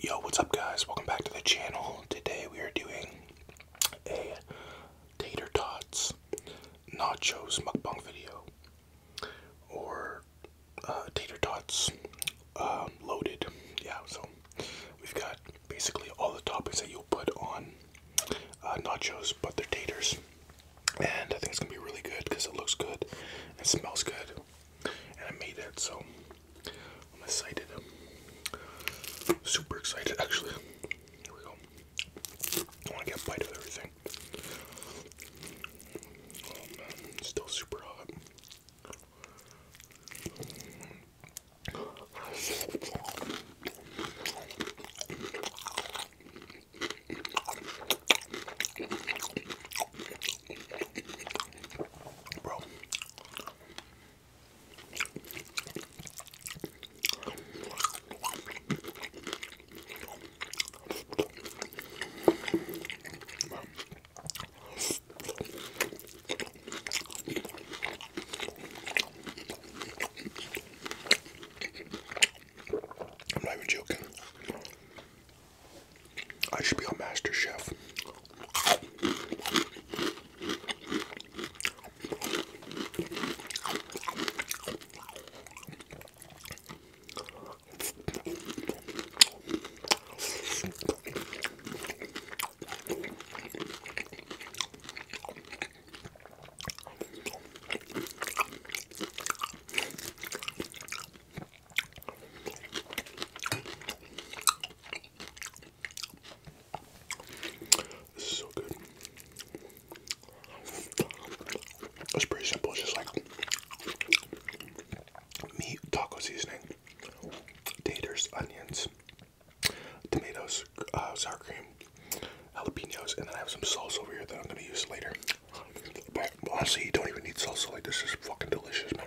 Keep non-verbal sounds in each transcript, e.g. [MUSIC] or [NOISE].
Yo, what's up guys? Welcome back to the channel. Today we are doing a tater tots nachos mukbang video or uh, tater tots um, loaded. Yeah, so we've got basically all the toppings that you'll put on uh, nachos, but they're taters. And I think it's gonna be really good because it looks good and smells good and I made that, so I'm excited. Super excited, actually. Here we go. I want to get a bite of everything. Um, still super hot. Bro. I'm not even joking. I should be a Master Chef. This is so good. It's pretty simple. It's just like meat, taco seasoning, taters, onions, tomatoes, uh, sour cream, jalapenos, and then I have some sauce over here that I'm gonna use later. But honestly, you don't even need salsa. Like this is fucking delicious, man.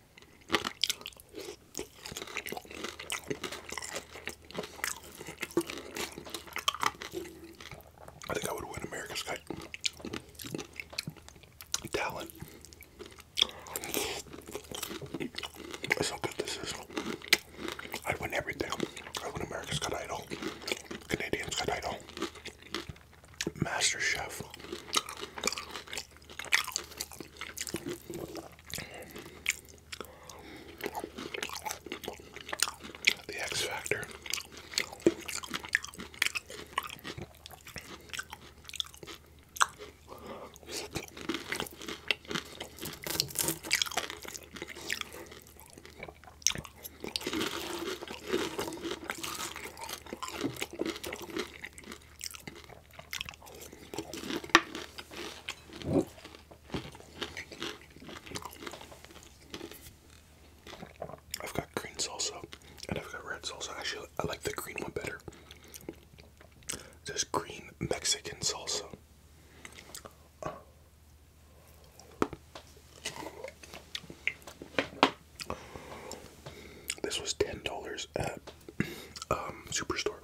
I think I would win America's Got Talent. That's how good this is. I'd win everything. I'd win America's Got Idol, Canadians Got Idol, Master Chef. The X Factor. I've got green salsa and I've got red salsa. Actually, I like the green one better. There's green Mexican salsa. This was ten dollars at um, Superstore,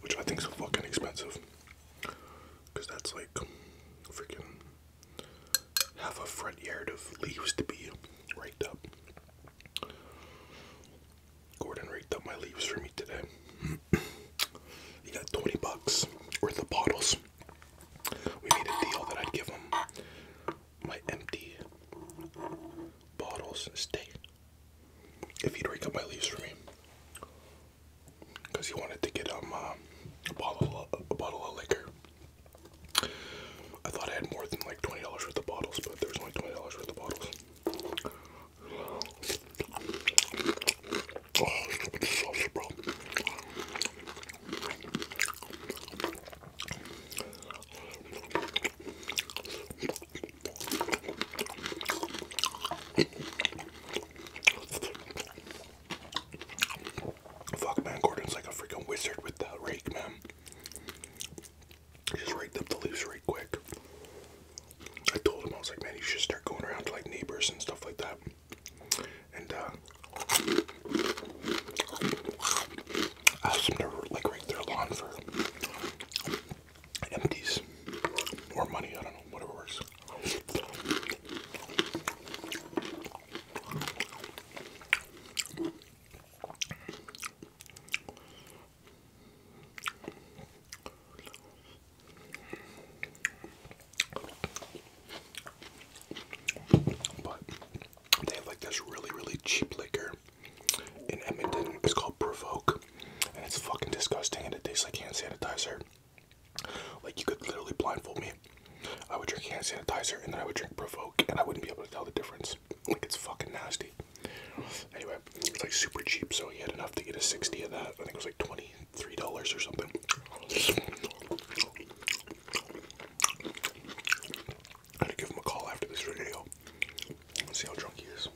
which I think is fucking expensive because that's like freaking have a front yard of leaves to be raked up. Gordon raked up my leaves for me today. [CLEARS THROAT] he got 20 bucks worth of bottles. We made a deal that I'd give him my empty bottles and stay if he'd rake up my leaves for me. Because he wanted to get um uh, a bottle of, a bottle of liquor. I thought I had more than like twenty dollars worth of bottles, but there was only twenty dollars worth of bottles. Oh, Fuck, man, Gordon's like a freaking wizard with that rake, man. just raked the leaves right quick. I told him, I was like, man, you should start going around to like neighbors and stuff like that. And, uh, asked him to like rake their lawn for empties or money, I don't know, whatever works. But they have like this really, really cheap liquor in Edmonton. It's called Provoke, and it's fucking disgusting, and it tastes like hand sanitizer. Like you could literally blindfold me. I would drink hand sanitizer, and then I would drink Provoke, and I wouldn't be able to tell the difference. Like it's fucking nasty. Anyway, it's like super cheap, so he had enough to get a sixty of that. I think it was like twenty three dollars or something. I had to give him a call after this video. Let's see how drunk he is.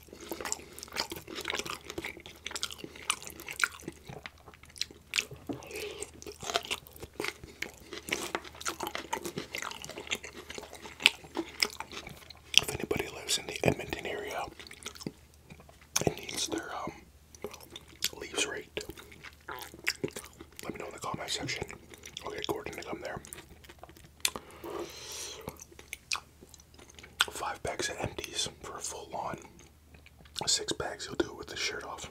If anybody lives in the Edmonton area and needs their um, leaves raked, let me know in the comment section. I'll get Gordon to come there. Five packs of empties for a full lawn. Six packs, you'll do it with the shirt off.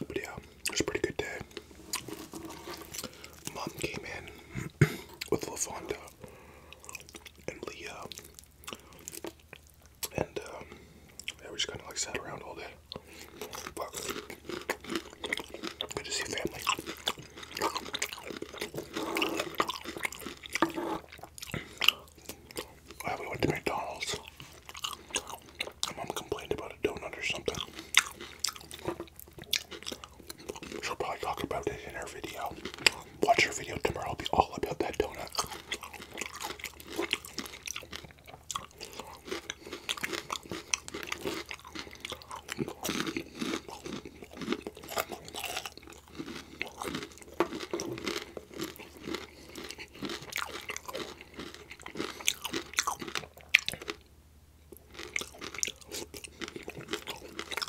But yeah, a pretty good day. Mom came in [CLEARS THROAT] with LaFonda and Leah, uh, and um, we just kind of like sat around all day. good to see family. I we went to McDonald's. My mom complained about a donut or something. She'll probably talk about it in her video. Watch your video tomorrow. I'll be all about that donut.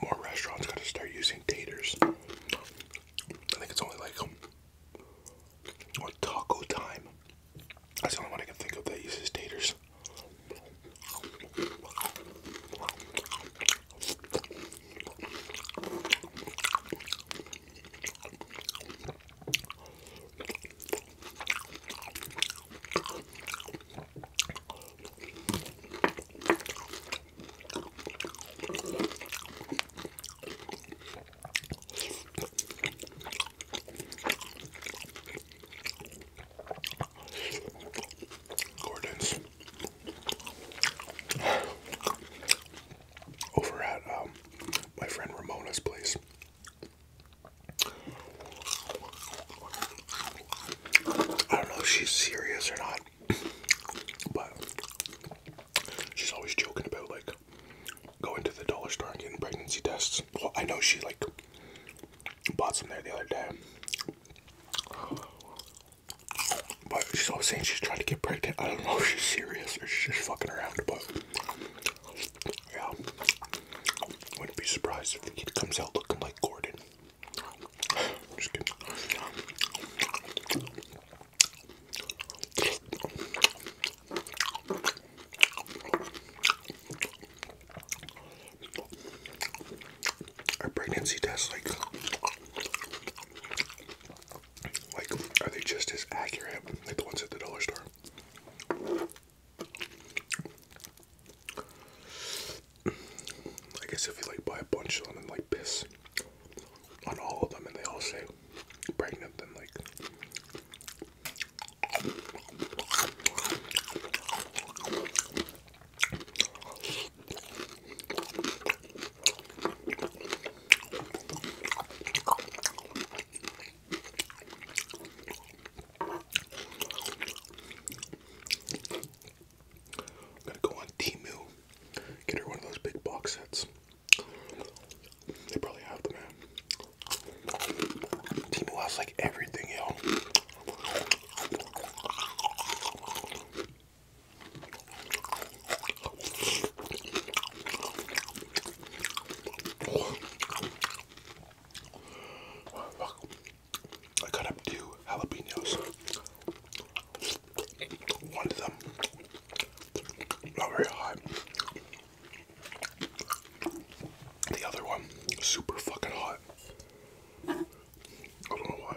More restaurants gotta start using taters. I think it's only like um, or taco time. That's the only one I can think of that uses taters. Gordon's over at um, my friend Ramona's place. I don't know if she's serious or not, but she's always joking about like going to the dollar store and getting pregnancy tests. Well, I know she like bought some there the other day. But she's always saying she's trying to get pregnant. I don't know if she's serious or she's just fucking around, but yeah. Wouldn't be surprised if he comes out looking like Gordon. [SIGHS] Just kidding a pregnancy test like like are they just as accurate like the ones at the dollar store? I guess if you like buy a bunch of them and like piss on all of them and they all say pregnant then like I'm gonna go on Timu, get her one of those big box sets. They probably have them, man. Timu has like everything, yo. Oh, I cut up two jalapenos. One of them not very hot. The other one super fucking hot. I don't know why.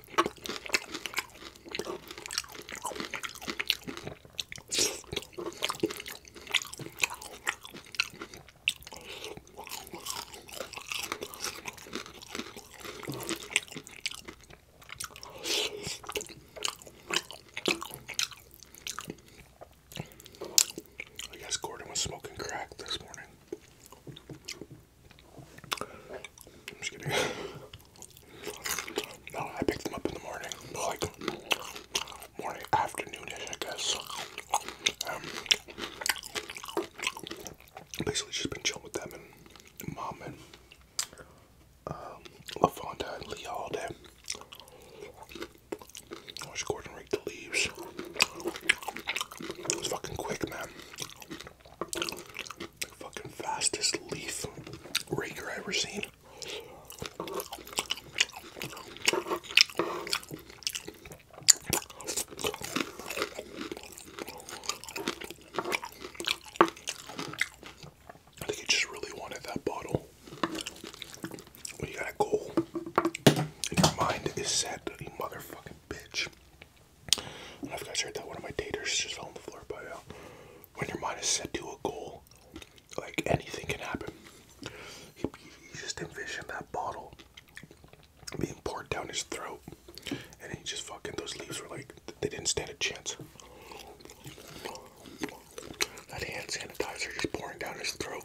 I guess Gordon was smoking crack this morning. I'm just kidding. [LAUGHS] No, I picked them up in the morning, like morning, afternoonish, I guess. Um, basically, she's been chilling with them and mom and um, LaFonda and Leah all day. I watched Gordon rake the leaves. It fucking quick, man. Fucking fastest leaf raker I have ever seen. I just really wanted that bottle. When you got a goal and your mind is set, motherfucking bitch. I don't know if that one of my taters just fell on the floor, but yeah when your mind is set to a goal, like anything can happen. He just envisioned that bottle being poured down his throat, and he just fucking those leaves were like they didn't stand a chance. That hand sanitizer just pouring down his throat.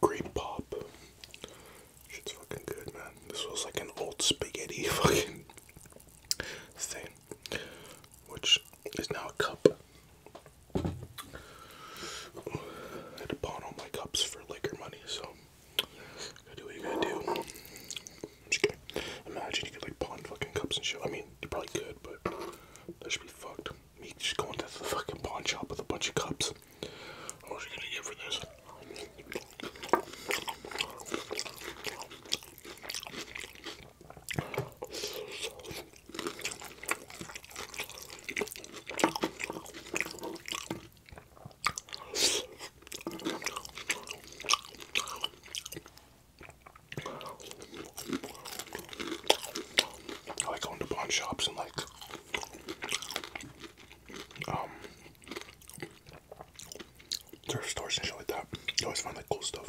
Grape pop. Shit's fucking good, man. This was like an old spaghetti [LAUGHS] fucking thing, which is now a cup. I had to pawn all my cups for liquor money, so do what you gotta do. i Imagine you could like pawn fucking cups and shit. I mean, you probably could, but that should be fucked. Me just going to the fucking pawn shop with a bunch of cups. What was you gonna get for this? I like going to pawn shops and like um thrift stores and shit like that. You always find like cool stuff.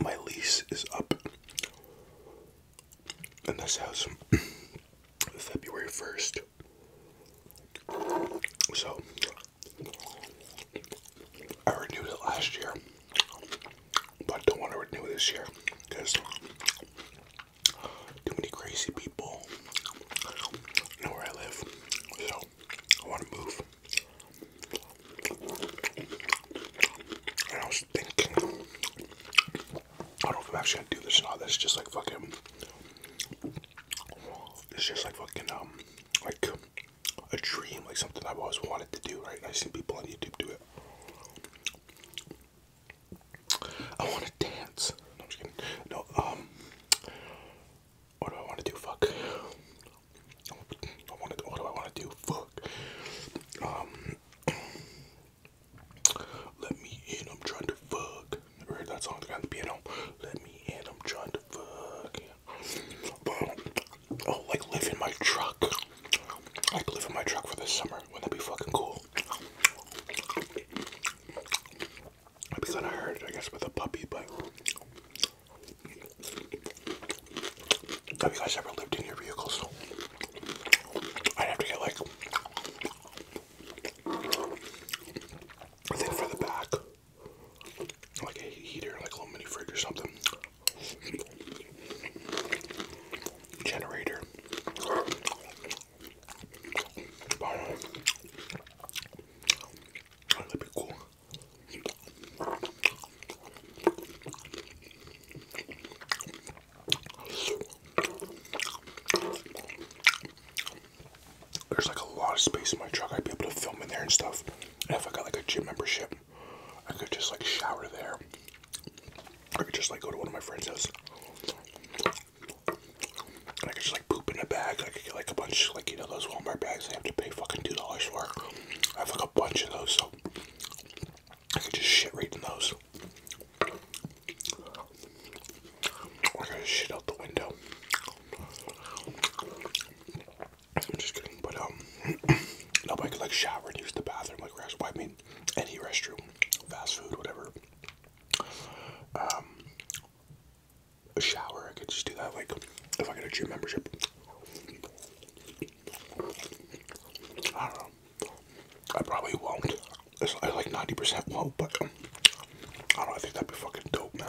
My lease is up in this house [CLEARS THROAT] February 1st. So I renewed it last year, but don't want to renew this year because too many crazy people know where I live. So I want to move. And I was thinking, I don't know if I'm actually gonna do this or not. This just like fucking it's just like fucking um like a dream, like something I've always wanted to do, right? I've seen people on YouTube do it. I want to dance. I'm just kidding. No, um, what do I want to do? Fuck. I want to. What do I want to do? Fuck. Um, [CLEARS THROAT] let me in. I'm trying to fuck. Never heard that song on the ground, the piano. Let me in, I'm trying to fuck. Oh, like live in my truck. Like live in my truck for this summer. Wouldn't that be fucking cool? I'd be kind of hurt, I guess, with a puppy, but. Have you guys ever lived in your vehicles? I'd have to get like a thing for the back like a heater, like a little mini fridge or something. Generator. That'd be cool there's like a lot of space in my truck. I'd be able to film in there and stuff. if I got like a gym membership, I could just like shower there. I could just like go to one of my friends' houses. I could just like poop in a bag. I could get like a bunch, like you know, those Walmart bags I have to pay fucking two dollars for. I have like a bunch of those, so I could just shit right in those. Or I could just shit out the window. I'm just kidding, but um, [CLEARS THROAT] nobody could like shower and use the bathroom, like rest. I mean, any restroom, fast food, whatever. Um, a shower, I could just do that. Like, if I get a gym membership, I don't know. I probably won't. I like ninety percent won't, but. I don't think that'd be fucking dope, man.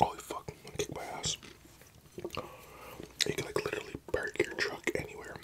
Holy oh, fuck, kick my ass. You can like literally park your truck anywhere.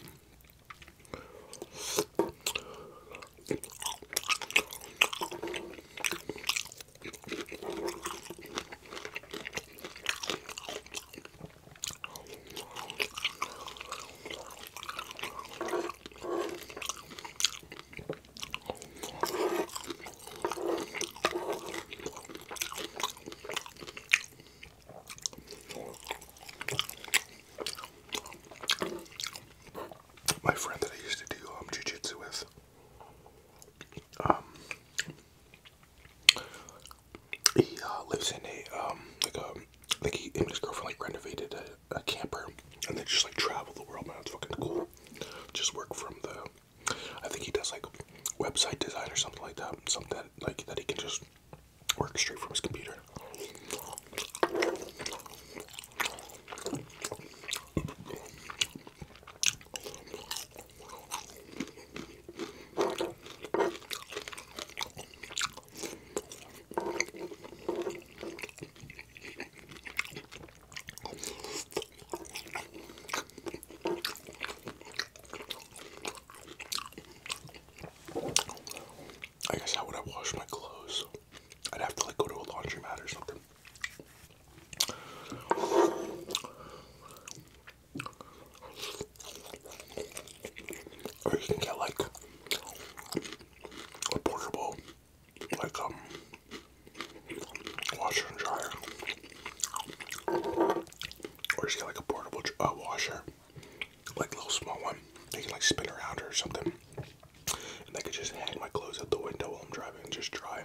My friend that I used to do um, jujitsu with, um, he uh, lives in a um, like a like he and his girlfriend like renovated a, camper and they just like travel the world man. It's fucking cool. Just work from the I think he does like website design or something like that. Something like that he can just work straight from his computer. I guess how would I wash my clothes? I'd have to like go to a laundromat or something. Or you can get like a portable like um washer and dryer. Or just get like a portable uh, washer, like a little small one. They can like spin around or something. And I could just hang my clothes out the window while I'm driving and just dry.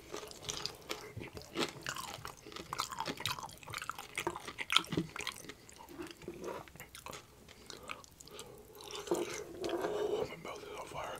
Oh, my mouth is on fire.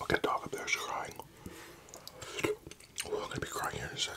Look at that dog up there, she's crying. Oh, I'm gonna be crying here in a sec.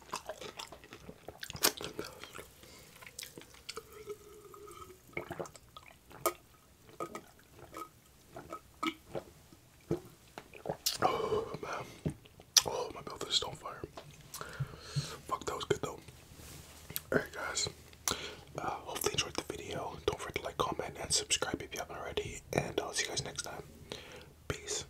Oh man. Oh my mouth is on fire. Fuck that was good though. Alright guys. Uh, hopefully enjoyed the video. Don't forget to like, comment, and subscribe if you haven't already. And I'll see you guys next time. Peace.